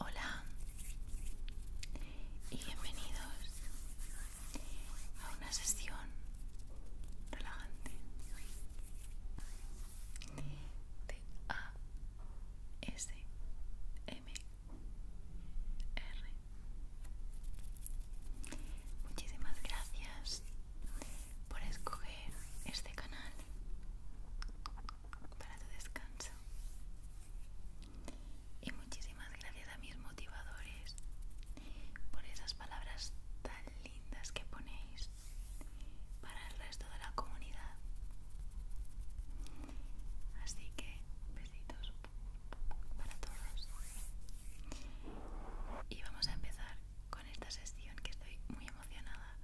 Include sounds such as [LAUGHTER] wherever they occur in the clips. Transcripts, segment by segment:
Hola y bienvenidos a una sesión relajante de ASMR. Muchísimas gracias por escoger este canal para tu descanso. Y muchísimas gracias a mis motivadores por esas palabras tan lindas que ponéis para el resto de la comunidad. Así que, besitos para todos y vamos a empezar con esta sesión que estoy muy emocionada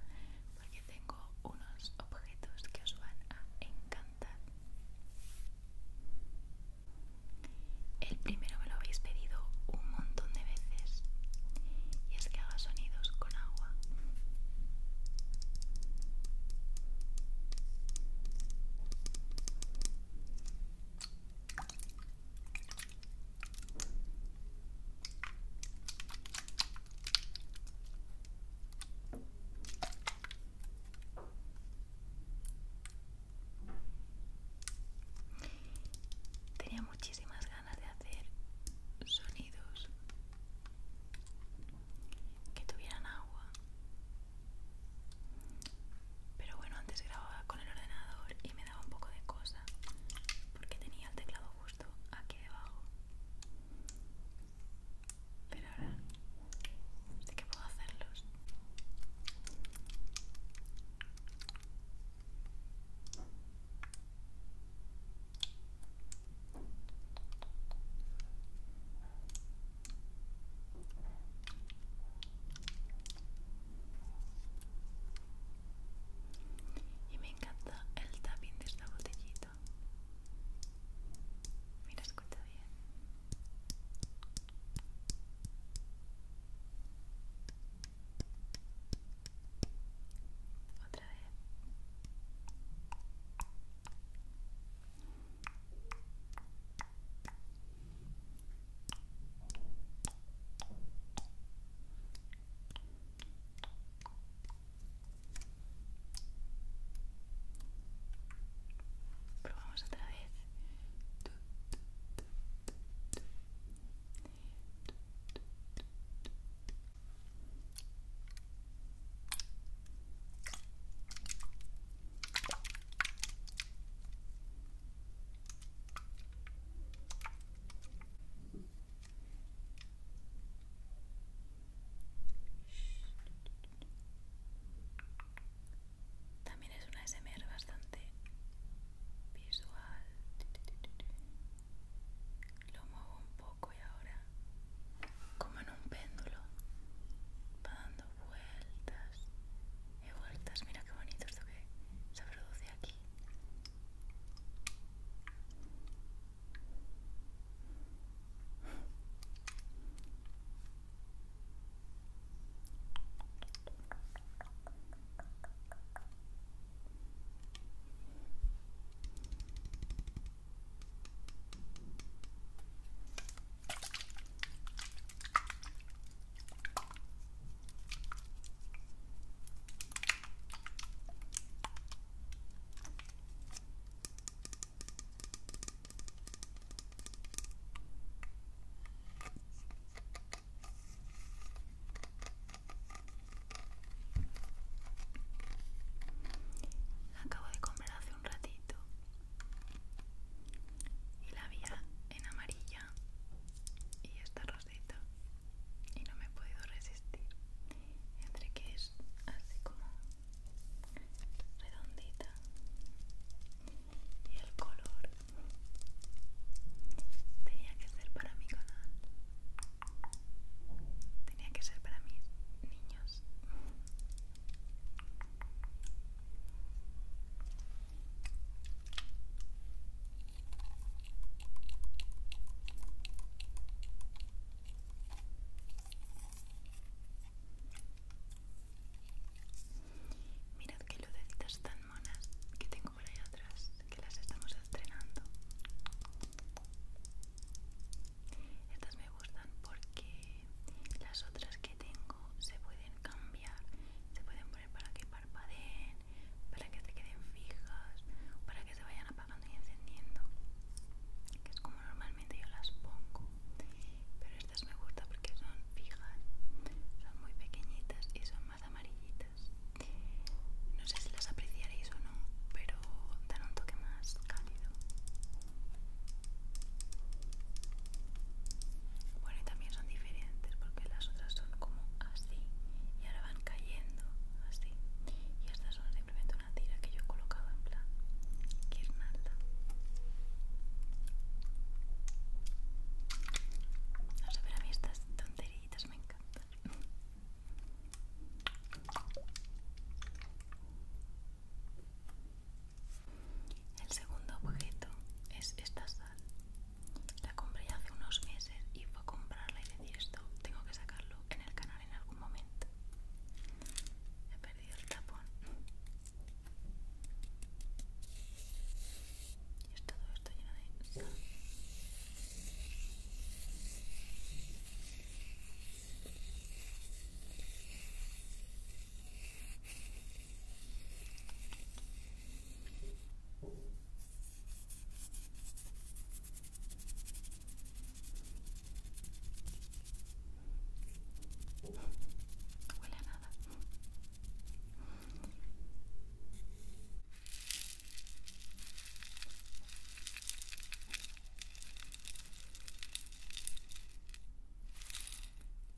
porque tengo unos objetos que os van a encantar el primero me lo habéis pedido un montón de veces y es que haga sonidos con agua Tenía muchísimas ganas de hacer sonidos que tuvieran agua pero bueno, antes grababa con el ordenador y me daba un poco de cosa porque tenía el teclado justo aquí debajo. Pero ahora sé que puedo hacerlos. Y me encanta el tapping de esta botellita. Mira, escucha bien. Otra vez. Probamos otra vez. También es una SMR bastante visual. Lo muevo un poco y ahora, como en un péndulo, va dando vueltas He vueltas. Mira qué bonito esto que se produce aquí. Acabo de comer hace un ratito y la había en amarilla y esta rosita y no me he podido resistir entre que es así como redondita y el color tenía que ser para mi canal tenía que ser para mis niños Mirad qué lucecitas tan monas que tengo por ahí atrás, que las estamos estrenando. Estas me gustan porque las otras que tengo se pueden cambiar, se pueden poner para que parpadeen, para que se queden fijas, para que se vayan apagando y encendiendo, que es como normalmente yo las pongo, pero estas me gustan porque son fijas, son muy pequeñitas y son más amarillitas. No sé si las apreciaréis o no, pero dan un toque más cálido. Bueno, y también son diferentes porque las otras son como así y ahora van cayendo así. Y estas son simplemente una tira que yo he colocado en plan es No a ver a mí estas tonteritas me encantan. El segundo objeto es esta sal. La compré hace unos meses y fue a comprarla y decir esto, tengo que sacarlo en el canal en algún momento. He perdido el tapón. Y es todo esto lleno de sal. Huele a nada.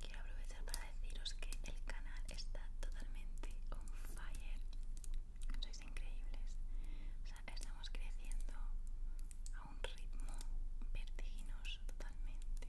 Quiero aprovechar para deciros que el canal está totalmente on fire. Sois increíbles. O sea, estamos creciendo a un ritmo vertiginoso totalmente.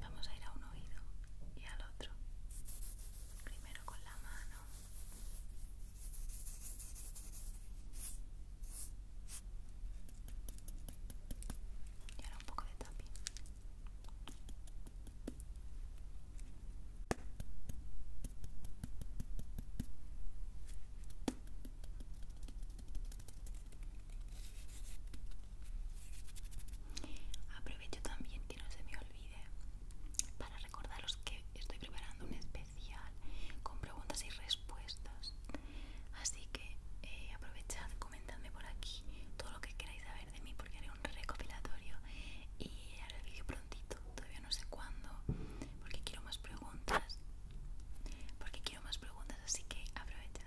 Vamos a ir a un oído y al otro. Primero con la mano. Y ahora un poco de tapi. Aprovecho también que no se me olvide para recordaros que estoy preparando un especial con preguntas y respuestas. Así que eh, aprovechad, comentadme por aquí todo lo que queráis saber de mí porque haré un recopilatorio y haré el vídeo prontito, todavía no sé cuándo, porque quiero más preguntas. Porque quiero más preguntas así que aprovecha.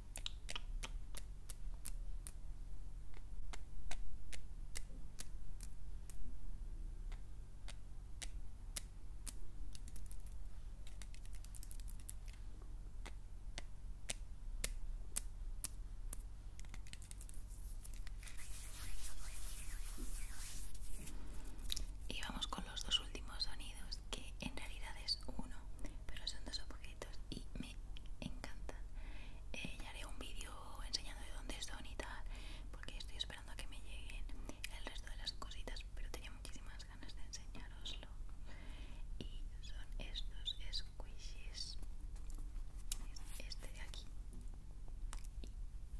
Y vamos con los dos últimos sonidos, que en realidad es uno, pero son dos objetos y me encantan eh, ya haré un vídeo enseñando de dónde son y tal porque estoy esperando a que me lleguen el resto de las cositas pero tenía muchísimas ganas de enseñaroslo y son estos squishies este de aquí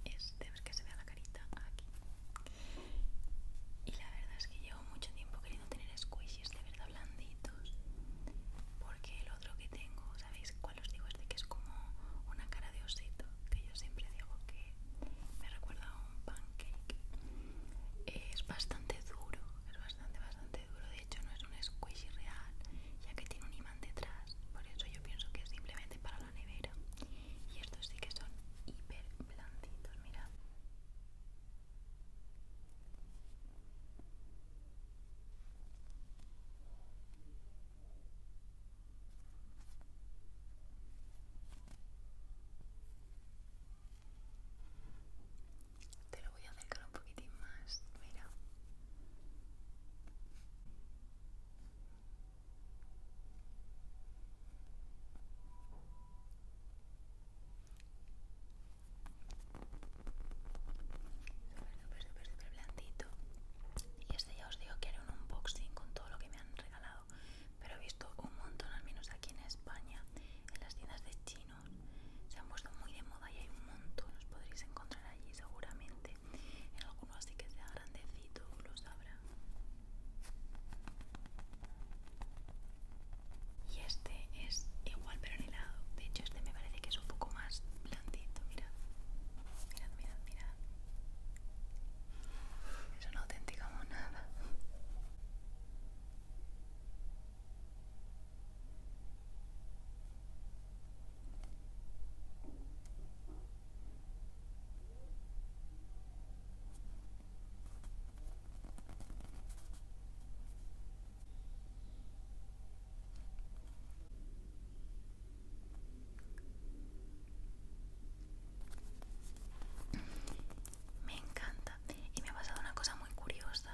y este es que se vea la carita aquí y la verdad es que llevo mucho tiempo queriendo tener squishies de verdad blanditos porque el otro que tengo sabéis cuál os digo este que es como una cara de osito que yo siempre digo que me recuerda a un pancake es bastante duro es bastante bastante duro de hecho no es un squishy real ya que tiene un imán detrás por eso yo pienso que es simplemente para la nevera y estos sí que son hiper blanditos mirad te lo voy a acercar un poquitín más, mira. Súper, súper, súper blandito. Y este ya os digo que era un unboxing con todo lo que me han regalado. Pero he visto un montón, al menos aquí en España, en las tiendas de chinos. Se han puesto muy de moda y hay un montón. Los podréis encontrar allí seguramente. En alguno así que sea grandecito, lo sabrá y este es igual pero en helado. De hecho, este me parece que es un poco más blandito. Mirad, mirad, mirad, mirad. Es una auténtica monada. Me encanta. Y me ha pasado una cosa muy curiosa.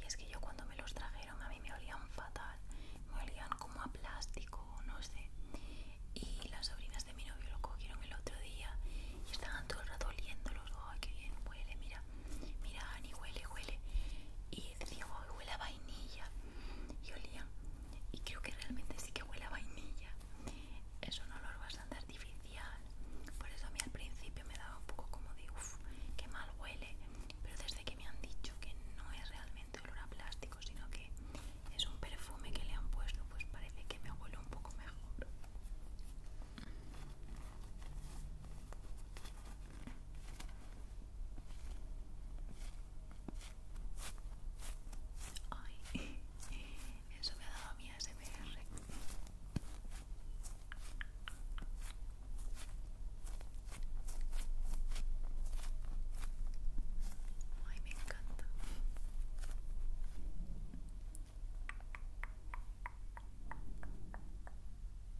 Y es que yo cuando me los trajeron a mí me olían fatal. Me olían como a plástico, no sé. Y las sobrinas de mi novio lo cogieron el otro día y estaban todo el rato oliéndolos. ¡Ay, qué bien huele! Mira Mira, Ani, huele, huele. Y decía, huele a vainilla. Y olía. Y creo que realmente sí que huele a vainilla. Es un olor bastante artificial. Por eso a mí al principio me daba un poco como de, uff, qué mal huele. Pero desde que me han dicho que no es realmente olor a plástico, sino que es un perfume que le han puesto, pues parece que me huele un poco mejor. Ay, [LAUGHS] eso me ha dado mi ASMR. Ay, me encanta.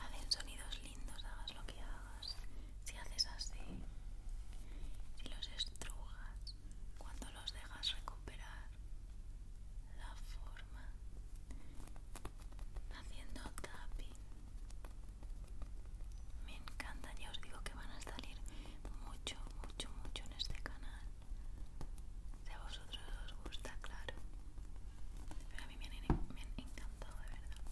Hacen sonidos lindos, hagas lo que hagas. Si haces así, y los estrujas, cuando los dejas recuperar la forma, haciendo tapping me encantan ya os digo que van a salir mucho mucho mucho en este canal si a vosotros os gusta claro pero a mí me han, encantado de verdad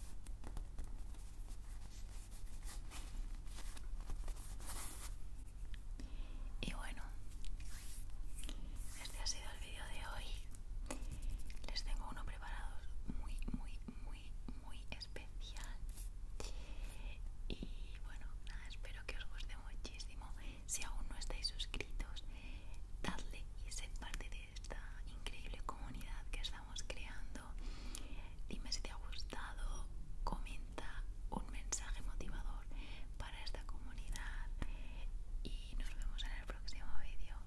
y bueno este ha sido el vídeo de hoy les tengo uno preparado muy muy muy muy especial y bueno nada espero que os guste muchísimo si aún no estáis suscritos dadle y sed parte de esta increíble comunidad que estamos creando dime si te ha gustado comenta un mensaje motivador para esta comunidad y nos vemos en el próximo vídeo